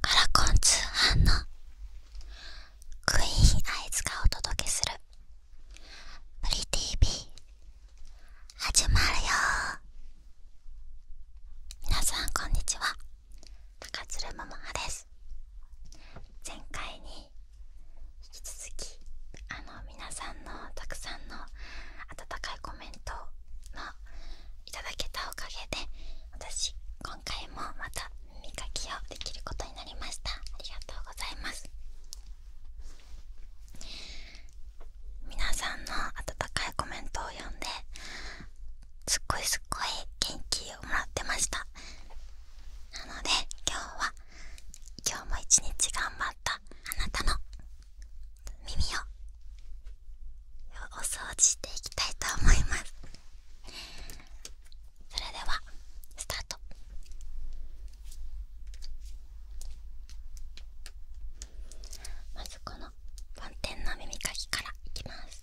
カラコン通販のクイーンアイズがお届けするプリ TV 始まるよ皆さんこんにちは高鶴桃葉です前回に引き続きあの皆さんのたくさんの温かいコメントのいただけたおかげで私今回もまた耳かきをできることになりましたありがとうございます皆さんの温かいコメントを読んですっごいすっごい元気をもらってましたなので今日は今日も一日頑張ったあなたの耳をお掃除していきたいと思いますそれではスタートまずこの梵天の耳かきからいきます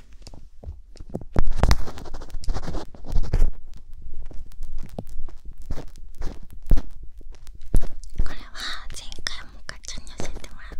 これは前回もガチャに教えてもらった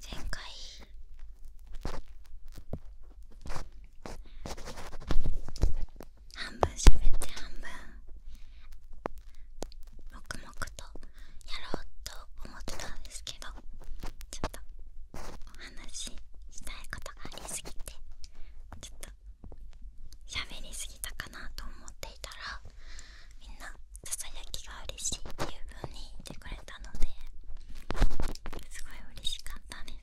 前回半分喋って半分黙々とやろうと思ってたんですけどちょっとお話ししたいことがありすぎてちょっと喋りすぎたかなと思っていたらみんなささやきが嬉しいっていうふうに言ってくれたのですごい嬉しかったです。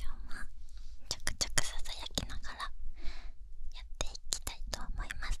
今日はちょくちょくささやきながらやっていきたいと思います。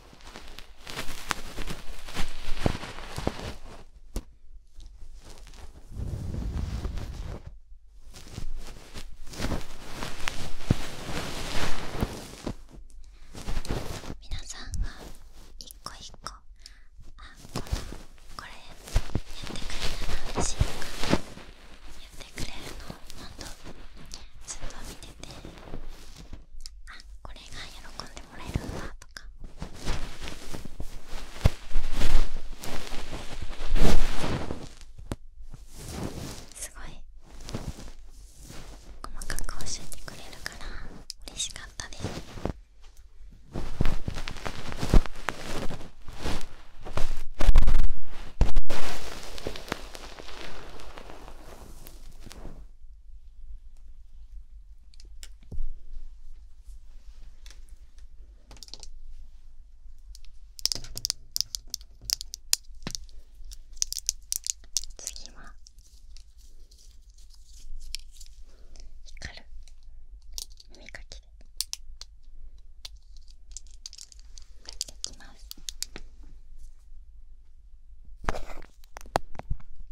皆さんが1個1個あこのこれやってくれたら嬉しいかやってくれるのをほんとずっと見ててあこれが喜んでもらえるんだとかすごい細かく教えてくれるから嬉しかったです次は光る耳かきでやっていきます。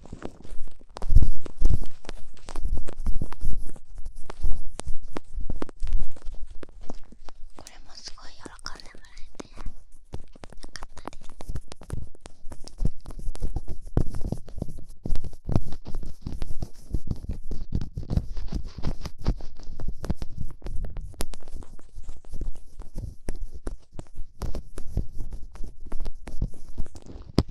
これもすごい喜んでもらえてよかったです。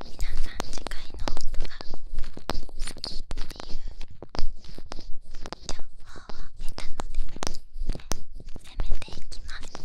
皆さん次回の音が好きっていう情報を得たので攻めていきます。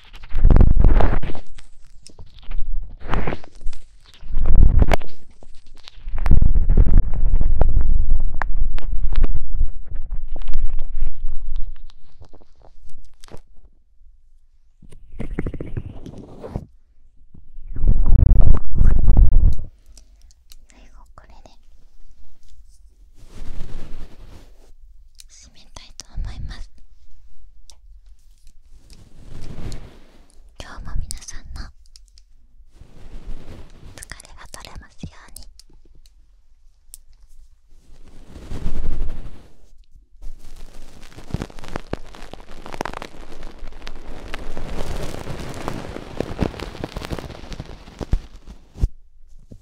最後これ締めたいと思います今日も皆さんの疲れが取れますように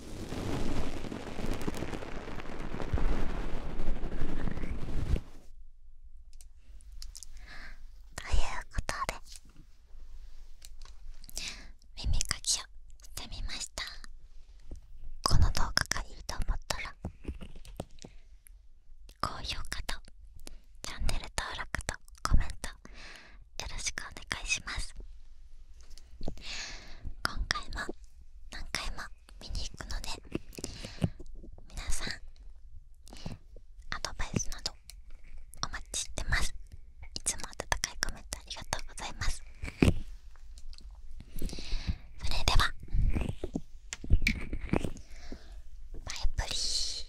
ということで耳かきをしてみましたこの動画がいいと思ったら高評価とチャンネル登録とコメントよろしくお願いします今回も何回も見に行くので皆さんアドバイスなどお待ちしてますいつも温かいコメントありがとうございますそれではバイブリー